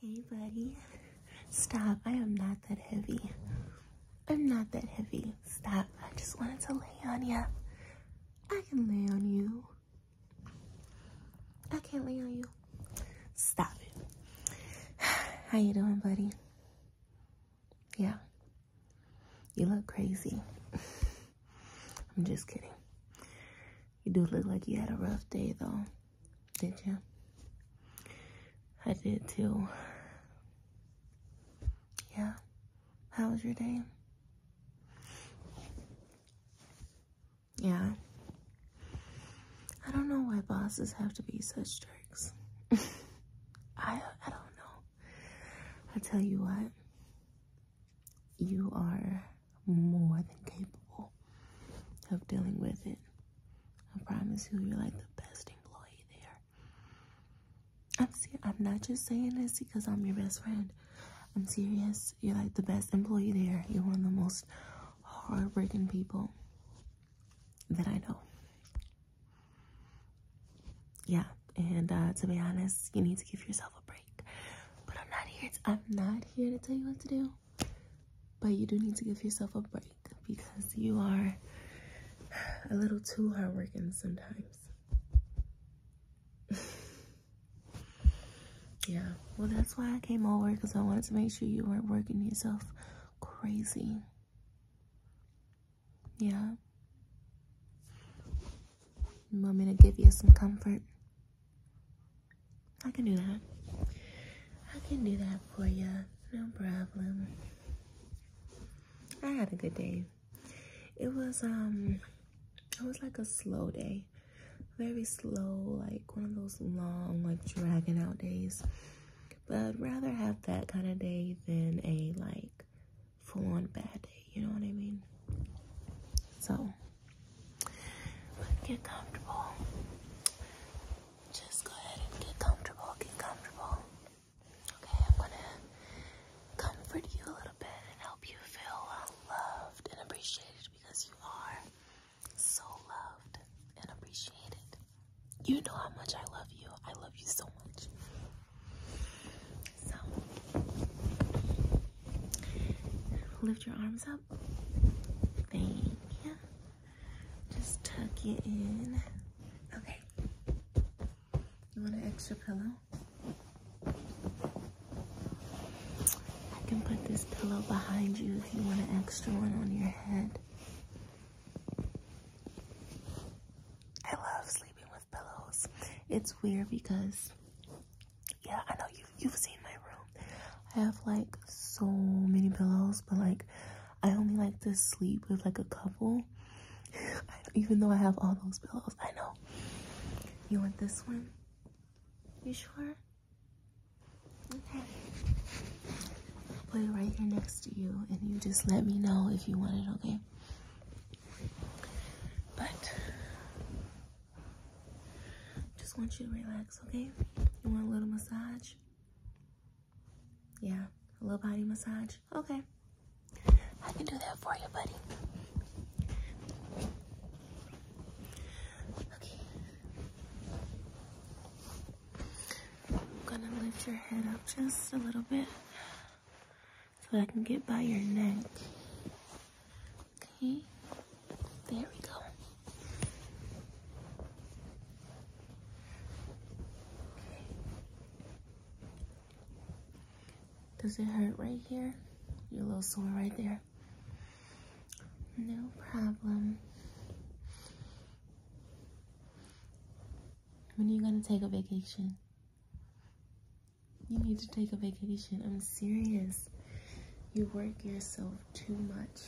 Hey, buddy. Stop. I am not that heavy. I'm not that heavy. Stop. I just wanted to lay on you. I can lay on you. I can't lay on you. Stop it. How you doing, buddy? Yeah. You look crazy. I'm just kidding. You do look like you had a rough day, though. Did you? I did too. Yeah. How was your day? Yeah. I don't know why bosses have to be such jerks. I I don't know. I tell you what you are more than capable of dealing with it. I promise you, you're like the best employee there. I'm not just saying this because I'm your best friend. I'm serious. You're like the best employee there. You're one of the most hardworking people that I know. Yeah, and uh, to be honest, you need to give yourself a break. But I'm not here. I'm not here to tell you what to do but you do need to give yourself a break because you are a little too hardworking sometimes. yeah, well, that's why I came over because I wanted to make sure you weren't working yourself crazy. Yeah. You want me to give you some comfort? I can do that. I can do that for you. No problem. I had a good day. It was um it was like a slow day. Very slow, like one of those long, like dragging out days. But rather have that kind of day than a like full on bad day, you know what I mean? So get comfortable. Just go ahead and get comfortable. Get comfortable. Okay, I'm gonna comfort you a little bit and help you feel loved and appreciated because you are so loved and appreciated. You know how much I love you. I love you so much. Lift your arms up. Thank you. Just tuck it in. Okay. You want an extra pillow? I can put this pillow behind you if you want an extra one on your head. I love sleeping with pillows. It's weird because yeah, I know you you've seen my room. I have like so many pillows, but like I only like to sleep with like a couple. even though I have all those pillows, I know. You want this one? You sure? Okay. put it right here next to you, and you just let me know if you want it, okay? But just want you to relax, okay? You want a little massage? Yeah, a little body massage? Okay. I can do that for you, buddy. Okay. I'm gonna lift your head up just a little bit so I can get by your neck. Okay, there we go. Does it hurt right here? You're a little sore right there. No problem. When are you going to take a vacation? You need to take a vacation. I'm serious. You work yourself too much.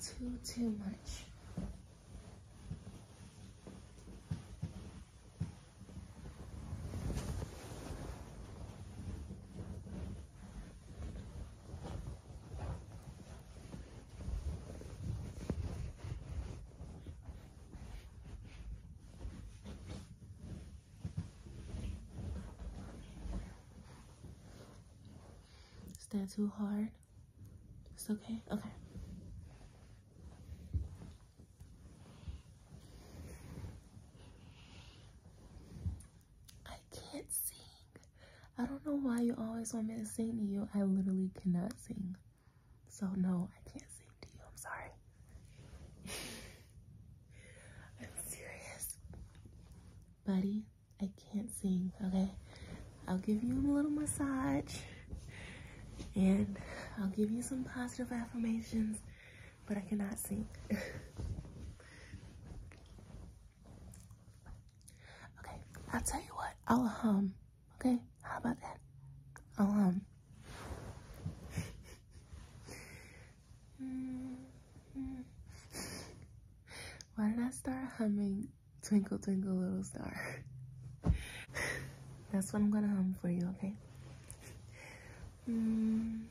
Too, too much. Stand too hard? It's okay? Okay. I can't sing. I don't know why you always want me to sing to you. I literally cannot sing. So no, I can't sing to you. I'm sorry. I'm serious. Buddy, I can't sing, okay? I'll give you a little massage and I'll give you some positive affirmations, but I cannot sing. okay, I'll tell you what, I'll hum Okay, how about that? I'll, um... Why did I start humming Twinkle Twinkle Little Star? That's what I'm gonna hum for you, okay?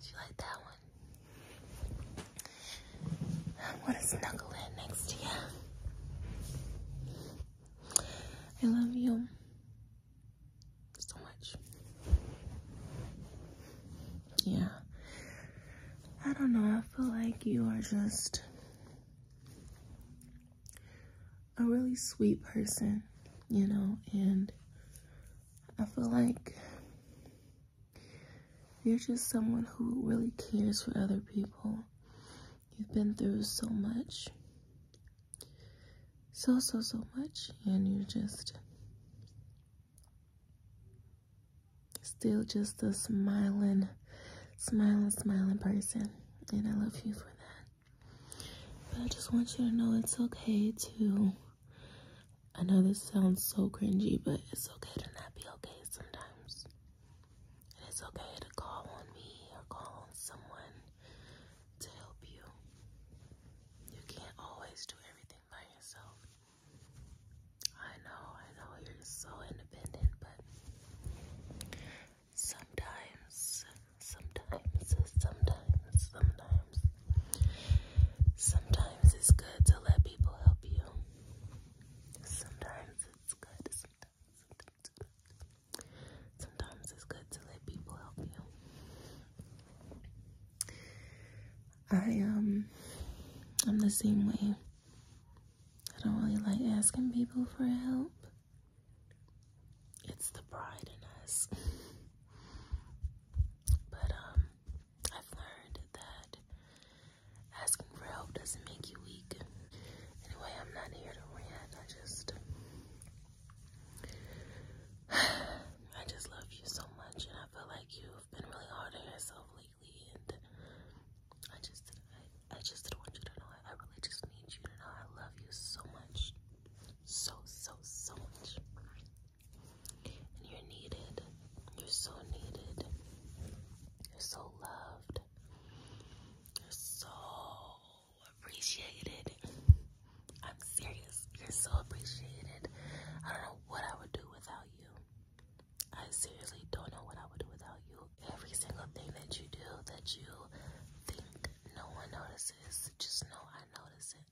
She like that one. I want to snuggle in next to you. I love you so much. Yeah. I don't know. I feel like you are just a really sweet person, you know, and I feel like you're just someone who really cares for other people. You've been through so much so so so much and you're just still just a smiling smiling smiling person and I love you for that but I just want you to know it's okay to I know this sounds so cringy but it's okay to not be okay sometimes it's okay to call on me or call on someone to help you. You can't always do everything by yourself. I know, I know you're so independent, but sometimes, sometimes, sometimes, sometimes, sometimes it's good to let people help you. Sometimes it's good, sometimes it's good to let people help you. I um I'm the same way. I don't really like asking people for help. It's the pride in us. but um I've learned that asking for help doesn't make you weak. Anyway, I'm not here to rant. I just I just love you so much, and I feel like you've been really hard on yourself lately. And I just, I, I just didn't want you to know. I, I really just need you to know I love you so much, so so so much. And you're needed. You're so needed. You're so loved. You're so appreciated. I'm serious. You're so appreciated. I don't know what I would do without you. I seriously don't know what I would do without you. Every single thing that you do that you think no one notices, just know I notice it.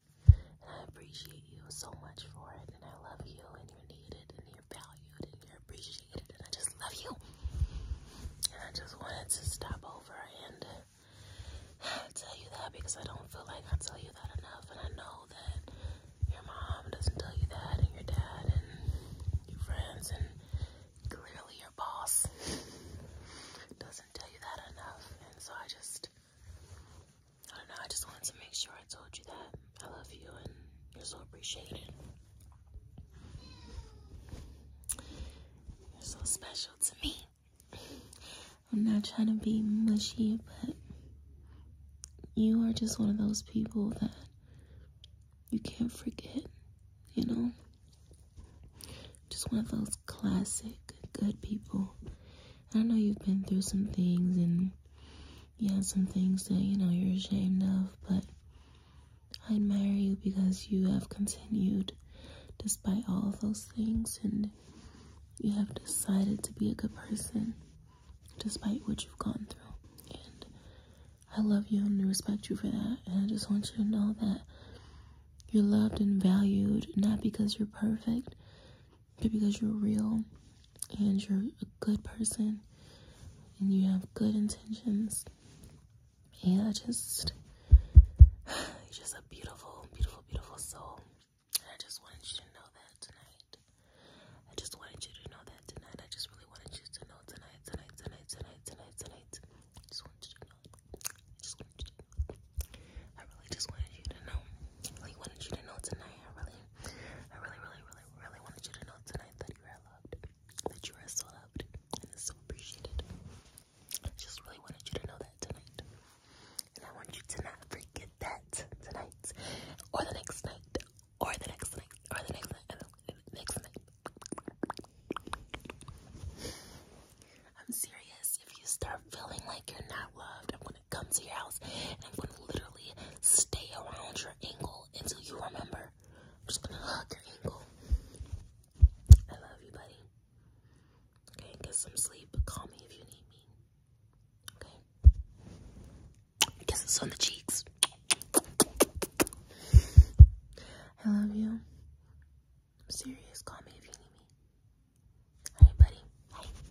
And I appreciate you so much for it. And I love you, and you're needed, and you're valued, and you're appreciated. And I just love you. And I just wanted to stop over and tell you that because I don't feel like I tell you that enough. And I know that your mom doesn't tell you that, and your dad, and your friends, and clearly your boss doesn't tell you that enough. And so I just, I don't know, I just wanted to make sure I told you that I love you and you're so appreciated. You're so special to me. I'm not trying to be mushy, but you are just one of those people that you can't forget, you know? Just one of those classic good people. I know you've been through some things and yeah, some things that, you know, you're ashamed of, but I admire you because you have continued despite all those things and you have decided to be a good person despite what you've gone through. And I love you and respect you for that. And I just want you to know that you're loved and valued not because you're perfect, but because you're real and you're a good person and you have good intentions yeah, just he's just a beautiful, beautiful, beautiful soul. And I just wanted you to know that tonight. I just wanted you to know that tonight. I just really wanted you to know tonight, tonight, tonight, tonight, tonight, tonight. I just wanted you to know. I just wanted you to know. I really just wanted you to know. I really wanted you to know tonight. I really, I really, really, really, really wanted you to know tonight that you are loved that you are so loved and is so appreciated. I just really wanted you to know that tonight. And I want you to not forget that tonight, or the next night, or the next night, or the next night, the next night. I'm serious. If you start feeling like you're not loved, I'm gonna come to your house and I'm gonna literally stay around your ankle until you remember. I'm just gonna hug your ankle. I love you, buddy. Okay, get some sleep. Call me if you need me. Okay. Kisses on the cheeks. I love you. I'm serious. Call me if you need me. All right, buddy. Bye.